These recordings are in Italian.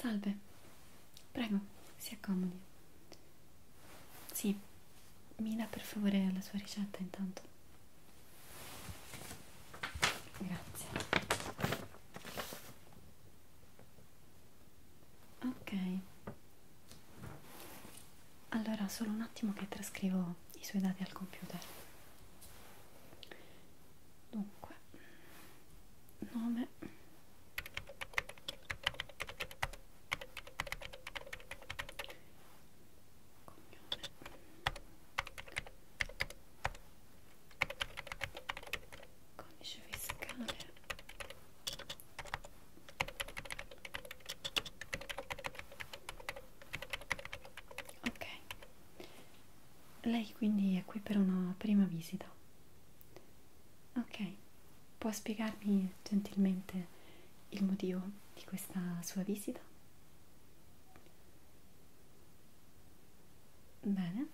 Salve, prego, si accomodi. Sì, mi dà per favore la sua ricetta intanto. Grazie. Ok. Allora, solo un attimo che trascrivo i suoi dati al computer. Dunque, nome. Cognome. Codice fiscale Ok, lei quindi è qui per una prima visita. Ok, può spiegarmi gentilmente il motivo di questa sua visita? Bene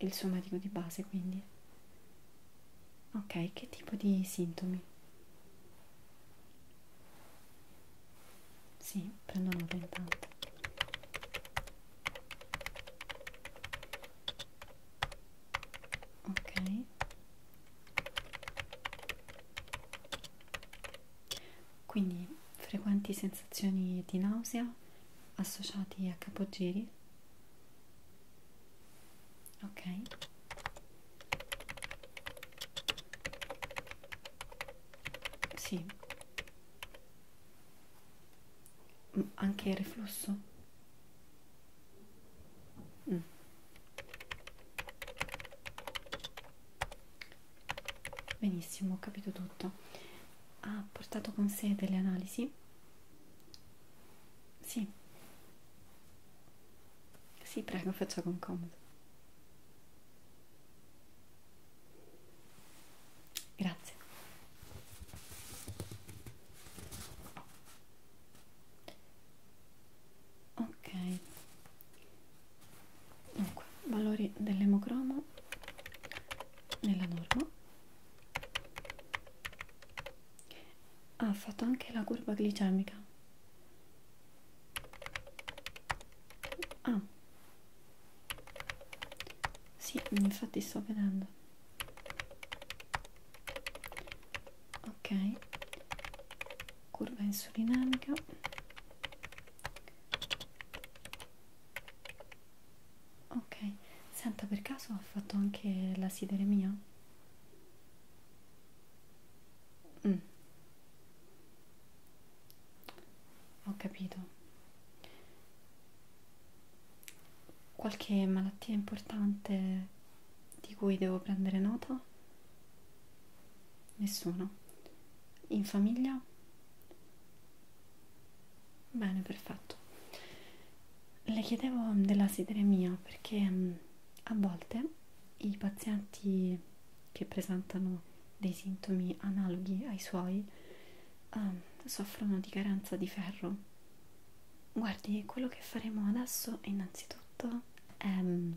il somatico di base quindi ok che tipo di sintomi sì prendo nota intanto ok quindi frequenti sensazioni di nausea associati a capogiri ok sì mm, anche il reflusso mm. benissimo ho capito tutto ha portato con sé delle analisi sì. Sì, prego, faccia con comodo. Grazie. Ok. Dunque, valori dell'emocromo nella norma ha ah, fatto anche la curva glicemica ah sì infatti sto vedendo ok curva insulinamica Ok, senta per caso ha fatto anche la sideremia? Mm. Ho capito. Qualche malattia importante di cui devo prendere nota? Nessuno. In famiglia? Bene, perfetto le chiedevo mm, della sideremia perché mh, mm, a volte i pazienti che presentano dei sintomi analoghi ai suoi um, soffrono di carenza di ferro. Guardi, quello che faremo adesso innanzitutto è um,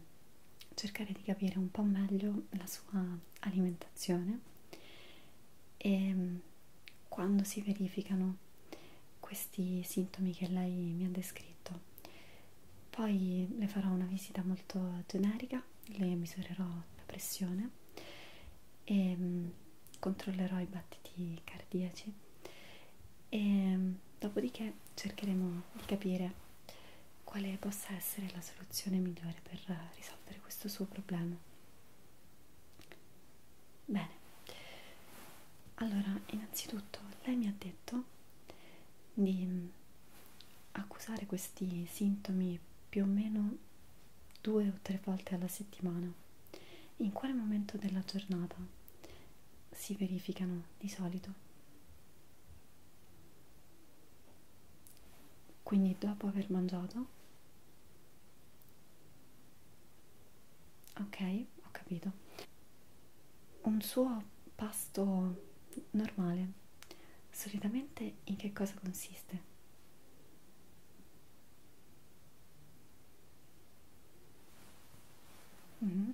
cercare di capire un po' meglio la sua alimentazione e ehm, quando si verificano questi sintomi che lei mi ha descritto poi le farò una visita molto generica le misurerò la pressione e ehm, controllerò i battiti cardiaci e ehm, dopodiché cercheremo di capire quale possa essere la soluzione migliore per risolvere questo suo problema Bene, allora innanzitutto lei mi ha detto di mm, accusare questi sintomi più o meno due o tre volte alla settimana. In quale momento della giornata si verificano di solito? Quindi dopo aver mangiato? ok ho capito un suo pasto normale solitamente in che cosa consiste mm.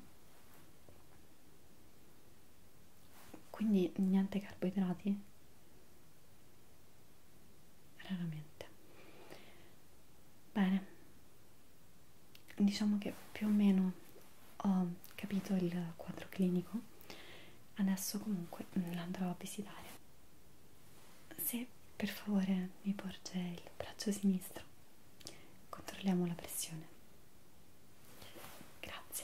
quindi niente carboidrati raramente bene diciamo che più o meno ho capito il quadro clinico adesso comunque l'andrò a visitare se per favore mi porge il braccio sinistro controlliamo la pressione grazie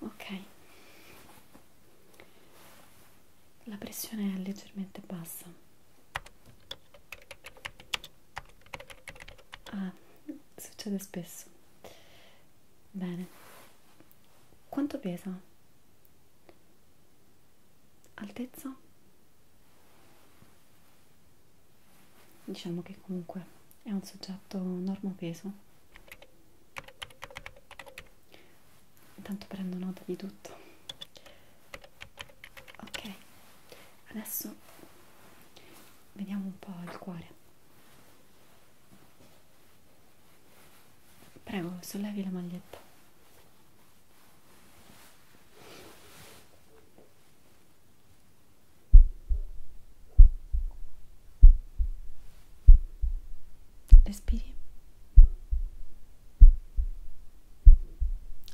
ok la pressione è leggermente bassa ah succede spesso bene quanto pesa altezza diciamo che comunque è un soggetto normopeso intanto prendo nota di tutto ok adesso vediamo un po' il cuore prego sollevi la maglietta respiri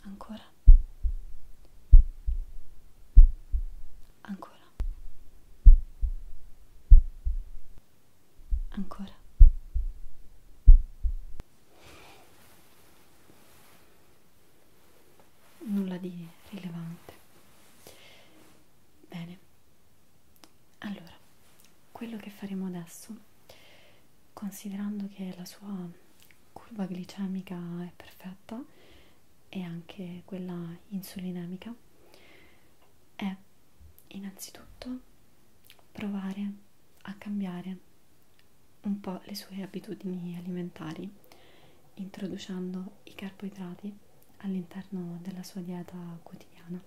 ancora ancora ancora nulla di rilevante bene allora quello che faremo adesso considerando che la sua curva glicemica è perfetta e anche quella insulinemica è innanzitutto provare a cambiare un po' le sue abitudini alimentari, introducendo i carboidrati all'interno della sua dieta quotidiana.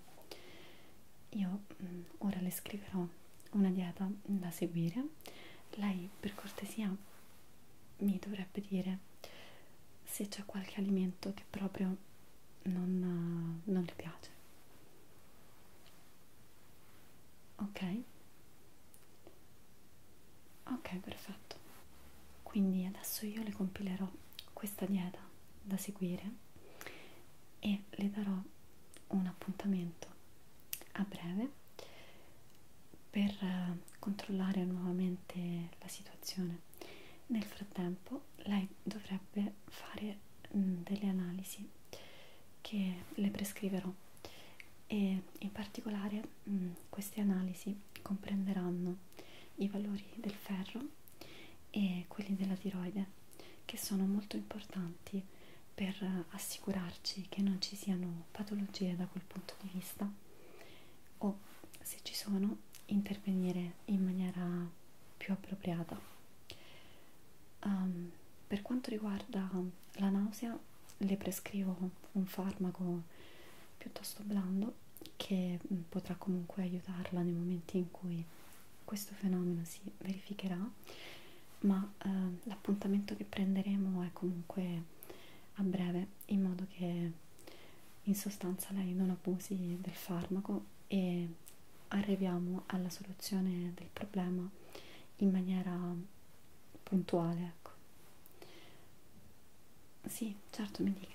Io mh, mm, ora le scriverò una dieta da seguire. Lei per cortesia mi dovrebbe dire se c'è qualche alimento che proprio non, non le piace. Ok? ok perfetto quindi adesso io le compilerò questa dieta da seguire e le darò un appuntamento a breve per eh, controllare nuovamente la situazione nel frattempo lei dovrebbe fare mm, delle analisi che le prescriverò e in particolare mh, mm, queste analisi comprenderanno i valori del ferro e quelli della tiroide che sono molto importanti per assicurarci che non ci siano patologie da quel punto di vista o se ci sono intervenire in maniera più appropriata. Um, per quanto riguarda la nausea le prescrivo un farmaco piuttosto blando che mm, potrà comunque aiutarla nei momenti in cui questo fenomeno si verificherà ma eh, l'appuntamento che prenderemo è comunque a breve in modo che in sostanza lei non abusi del farmaco e arriviamo alla soluzione del problema in maniera puntuale, ecco. Sì, certo, mi dica.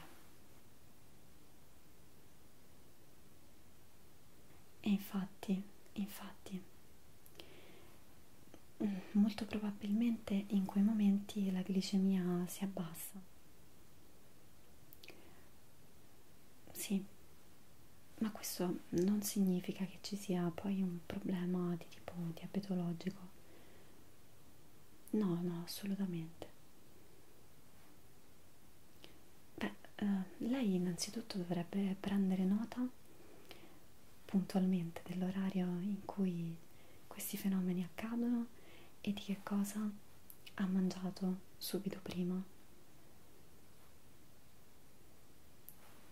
E infatti, infatti, mm, molto probabilmente in quei momenti la glicemia si abbassa. Sì, ma questo non significa che ci sia poi un problema di tipo diabetologico No, no, assolutamente. Beh, eh, lei innanzitutto dovrebbe prendere nota puntualmente dell'orario in cui questi fenomeni accadono e di che cosa ha mangiato subito prima.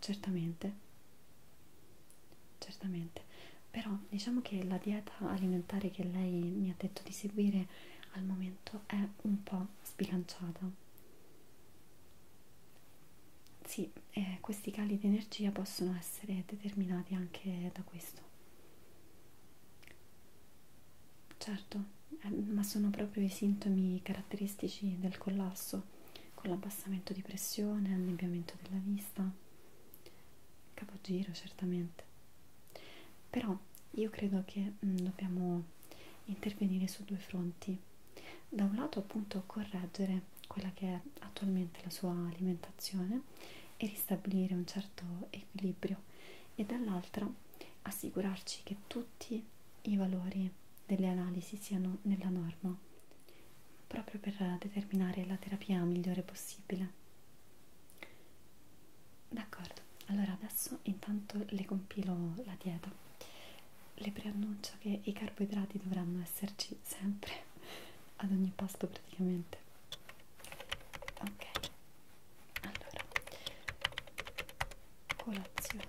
Certamente certamente però diciamo che la dieta alimentare che lei mi ha detto di seguire al momento è un po' sbilanciata sì, eh, questi cali di energia possono essere determinati anche da questo certo, eh, ma sono proprio i sintomi caratteristici del collasso con l'abbassamento di pressione, annebbiamento della vista, capogiro certamente. Però io credo che mh, mm, dobbiamo intervenire su due fronti. Da un lato appunto correggere quella che è attualmente la sua alimentazione e ristabilire un certo equilibrio e dall'altra assicurarci che tutti i valori delle analisi siano nella norma proprio per determinare la terapia migliore possibile. D'accordo, allora adesso intanto le compilo la dieta. Le preannuncio che i carboidrati dovranno esserci sempre, ad ogni pasto praticamente. Ok, allora, colazione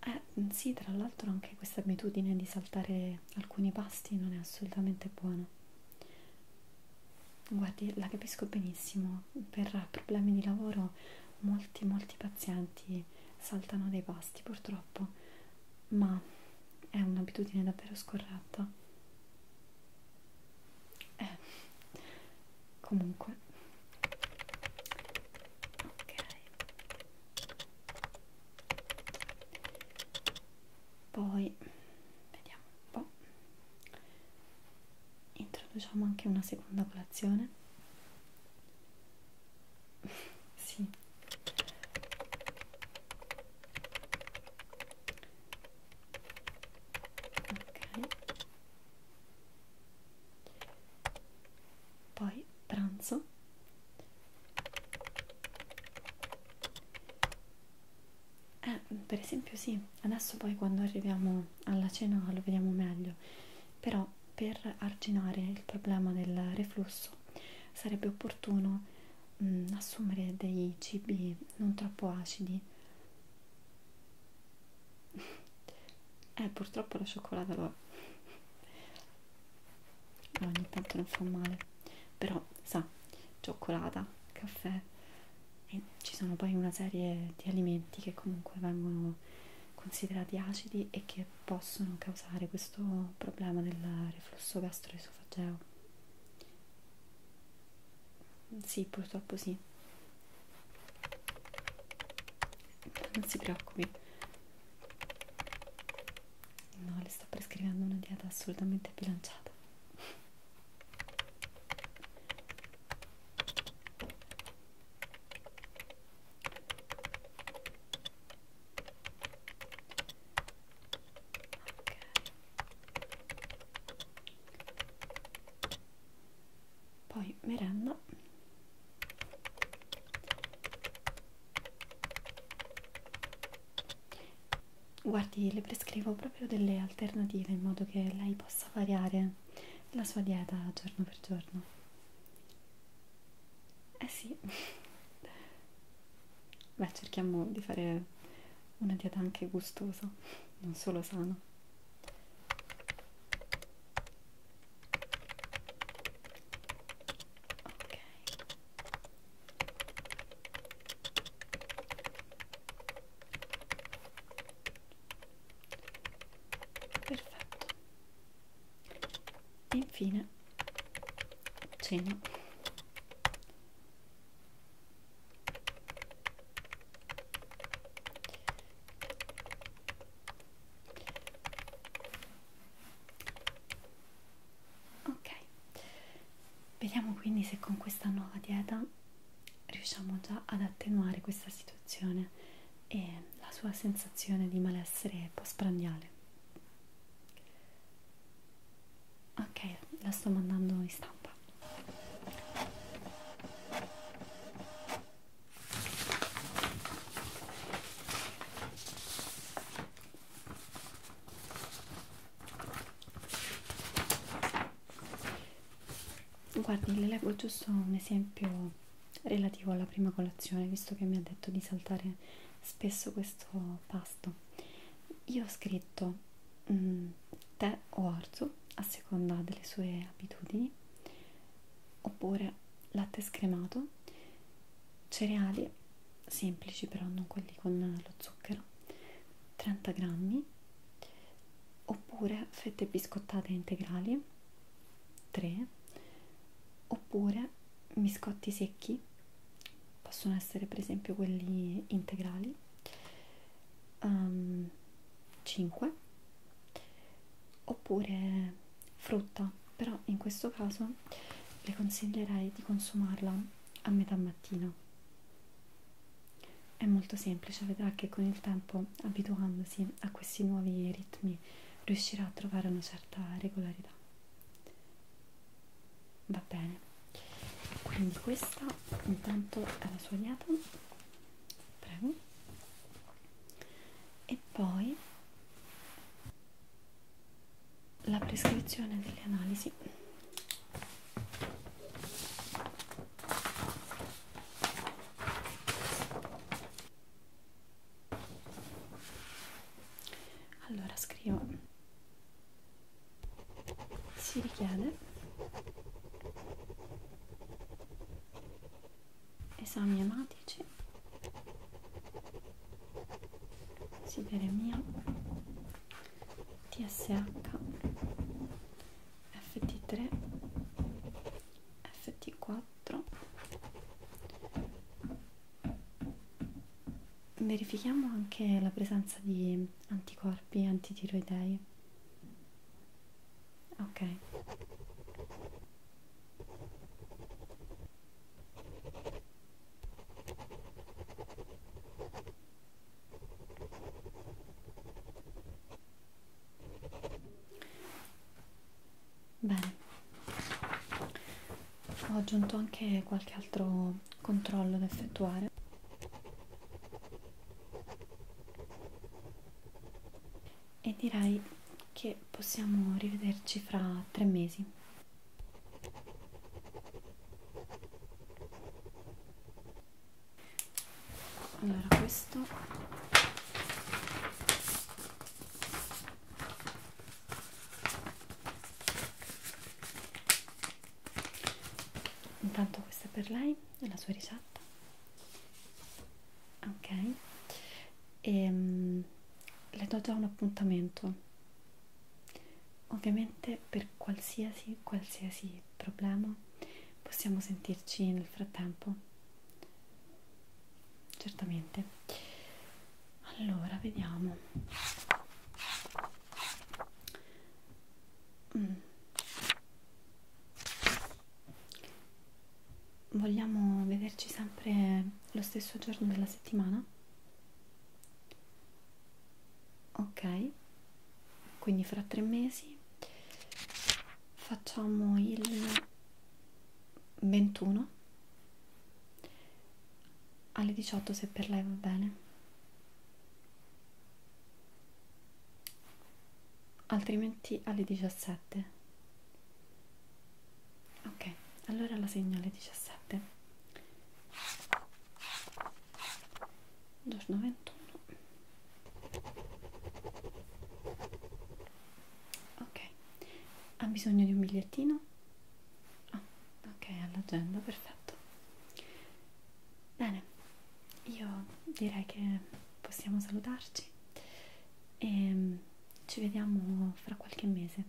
eh, sì, tra l'altro anche questa abitudine di saltare alcuni pasti non è assolutamente buona. Guardi, la capisco benissimo, per problemi di lavoro molti, molti pazienti saltano dei pasti purtroppo, ma è un'abitudine davvero scorretta. Eh, comunque ok poi vediamo un po' introduciamo anche una seconda colazione sì ok poi pranzo eh, per esempio sì adesso poi quando arriviamo alla cena lo vediamo meglio però per arginare il problema del reflusso sarebbe opportuno mh, mm, assumere dei cibi non troppo acidi eh purtroppo la cioccolata lo è no, ogni tanto non fa male però sa cioccolata caffè e ci sono poi una serie di alimenti che comunque vengono considerati acidi e che possono causare questo problema del reflusso gastroesofageo sì, purtroppo sì non si preoccupi no le sto prescrivendo una dieta assolutamente bilanciata Okay poi merenda guardi le prescrivo proprio delle alternative in modo che lei possa variare la sua dieta giorno per giorno eh sì beh cerchiamo di fare una dieta anche gustosa non solo sana Ok. Perfetto. E infine cena ok vediamo quindi se con questa nuova dieta riusciamo già ad attenuare questa situazione e la sua sensazione di malessere postprandiale ok la sto mandando in stampa Guardi, le leggo giusto un esempio relativo alla prima colazione, visto che mi ha detto di saltare spesso questo pasto. Io ho scritto mh, mm, tè o orzo a seconda delle sue abitudini oppure latte scremato, cereali semplici però non quelli con lo zucchero, 30 grammi, oppure fette biscottate integrali, 3, oppure biscotti secchi, possono essere per esempio quelli integrali, um, ehm, 5 oppure frutta però in questo caso le consiglierei di consumarla a metà mattina è molto semplice vedrà che con il tempo abituandosi a questi nuovi ritmi riuscirà a trovare una certa regolarità va bene quindi questa intanto è la sua dieta prego e poi la prescrizione delle analisi allora scrivo si richiede esami ematici sideremia TSH FT3 FT4 verifichiamo anche la presenza di anticorpi antitiroidei ok bene ho aggiunto anche qualche altro controllo da effettuare e direi che possiamo rivederci fra tre mesi. Allora questo Intanto questa è per lei e la sua ricetta ok e um, le do già un appuntamento ovviamente per qualsiasi qualsiasi problema possiamo sentirci nel frattempo certamente allora vediamo mm. Vogliamo vederci sempre lo stesso giorno della settimana? Ok, quindi fra tre mesi facciamo il 21 alle 18 se per lei va bene altrimenti alle 17 ok allora la segno alle 17 giorno 21 ok ha bisogno di un bigliettino ah, ok all'agenda perfetto bene io direi che possiamo salutarci e mm, ci vediamo fra qualche mese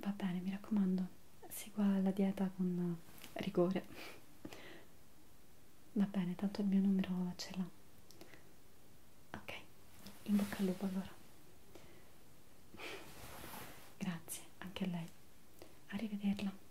va bene mi raccomando segua la dieta con rigore va bene tanto il mio numero ce l'ha ok in bocca al lupo allora grazie anche a lei arrivederla